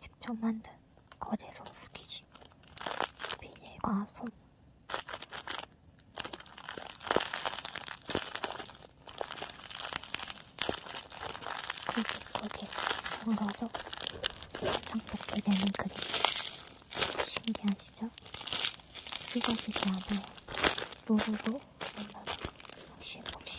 직접 만든 거대소 스키지 비닐과 솜 굳이굳이 엉어서 장독게 되는 그림 신기하시죠? 이것이 아마 노루로 만나는 혹시 혹시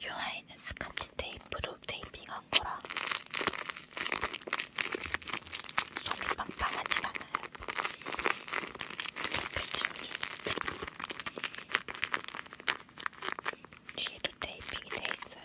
이 아이는 스카치 테이프로 테이핑한 거라 솜이 빵빵하진 않아요. 뒤에도 테이핑이 돼 있어요.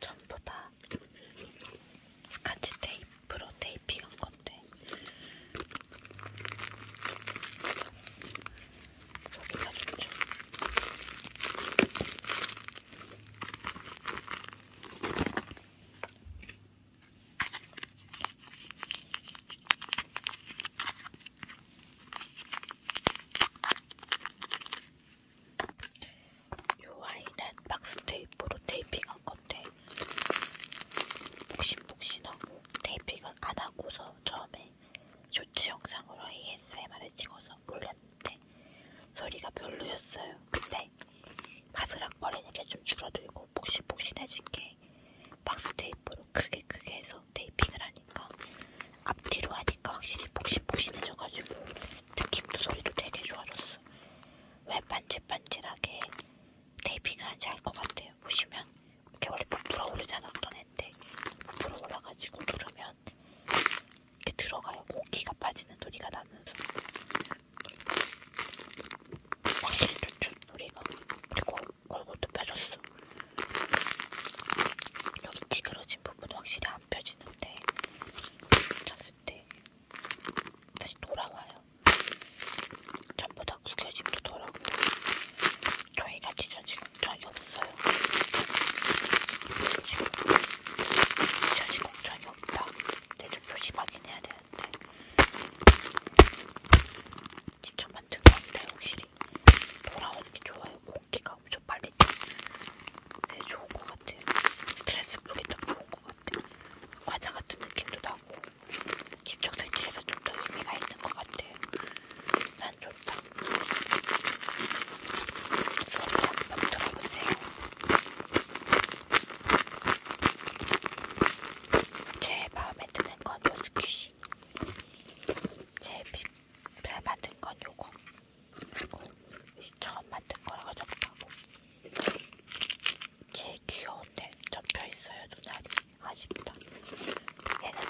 전부 다 스카치 테이프로 테이핑한 건데 소개가 좋죠. 요 아이는 박스 테이프로 테이핑한 건데 복신복신하고 테이핑을 안 하고서 처음에 쇼츠 영상으로 ASMR을 찍어서 올렸는데 소리가 별로였어요. 근데 바스락거리는 게 좀 줄어들고 복신복신해진 게 박스 테이프로 크게 크게 해서 테이핑을 한 하니까 앞뒤로 하니까 확실히 폭신폭신해져가지고 느낌도 소리도 되게 좋아졌어. 왜 반질반질하게 테이핑을 한지 알것 같아요. 보시면 이렇게 원래 부풀어 오르지 않았던 애인데 부풀어 올라가지고 누르면 이렇게 들어가요. 공기가 빠지는 소리가 나면서 확실히 좋죠. 소리가. 그리고 얼굴도 펴졌어. 여기 찌그러진 부분은 확실히 안 펴지는데 잤을 때 다시 돌아와요. 전부 다 구겨짐도 돌아오고 저희가 찢어지금 전혀 없어요. 지금 찢어지금 전혀 없다. 근데 좀 조심하긴 해야 되는데 직접 만든 건데 혹시 확실히 돌아오는 게 좋아요. 공기가 엄청 빨리 네, 좋은 것 같아요. 스트레스 풀기 딱 좋은 것 같아요. 과자 같은 느낌도 나고 집중살길에서 좀 더 의미가 있는 것 같아요. 난 좋다. 소리 한번 들어보세요. 제일 마음에 드는 건 요스키시. 제일 잘 만든 건 요거. 그리고 처음 만든 거라서 접하고. 제일 귀여운데 접혀 있어요 눈알이. 아쉽다. 얘는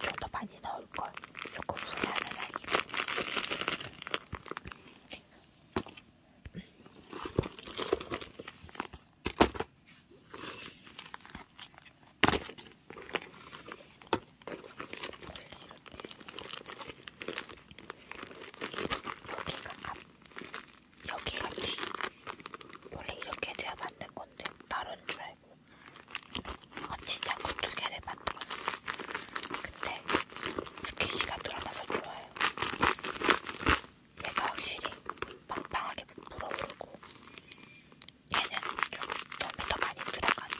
좀더 많이 넣을 걸. 조금 후회하는 아이. 여기가 뒤 원래 이렇게 돼야 만든 건데 다른 줄 알고 얹히자고 두 개를 만들었어요. 근데 이렇게 시가 늘어나서 좋아요. 얘가 확실히 빵빵하게 불어오르고 얘는 좀 덤이 더 많이 들어간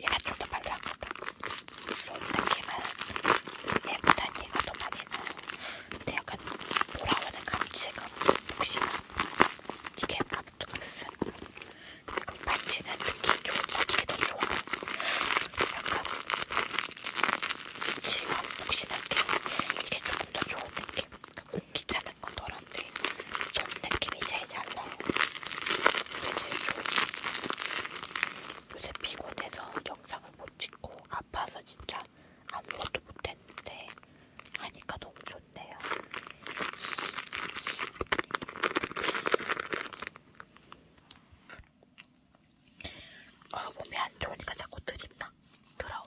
얘가 좀더 발랄하다 좀 느낌은 얘보다 얘가 더 많이 나요 근데 약간 돌아오는 감지가 혹시나 이게 아무튼 무슨 그리고 반지는 특히 조금 이게 더 좋아요 약간 질감 푹신하게 이게 조금 더 좋은 느낌 공기 차는 건 덜한데 전 느낌이 제일 잘 나요 이게 제일 좋은 요새 피곤해서 영상을 못 찍고 아파서 진짜 아무것도 못했는데 하니까 너무 좋네요 어, 몸이 안 좋으니까 자꾸 드립나. 더러워.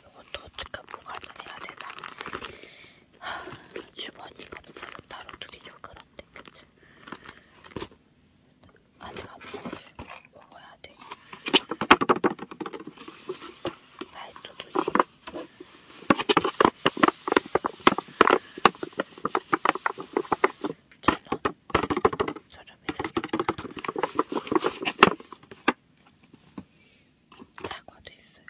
이것도 어떻게 보관을 해야 되나. 하, 주머니가 없어서 따로 두기 좀 그런데, 그치? 아직 안 먹었어. 먹어야 돼. 말도 두지. 사과도 있어요.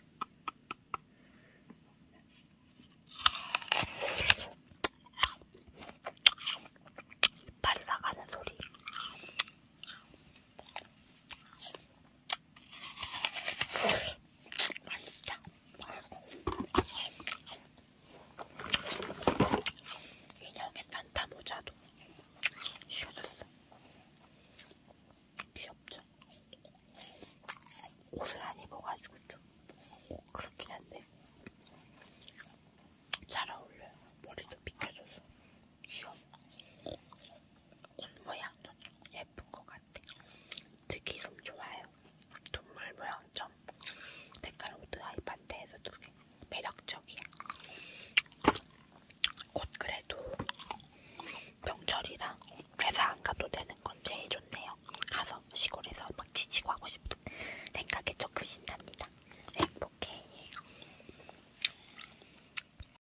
이빨이 나가는 소리. 맛있다. 인형의 산타 모자도 씌워졌어. 귀엽죠? 옷을 안 입어가지고 좀 그렇긴 한데 잘 어울려요. 머리도 비켜줘서 귀여워. 옷 모양도 예쁜 것 같아. 같아요. 특히 솜 좋아요. 동물 모양점 백화로드 아이판테에서 두개 매력적이야. 곧 그래도 명절이라 회사 안 가도 되는 건 제일 좋네요. 가서 시골에서 막 지치고 하고 싶은 생각에 조금 신납니다. 행복해.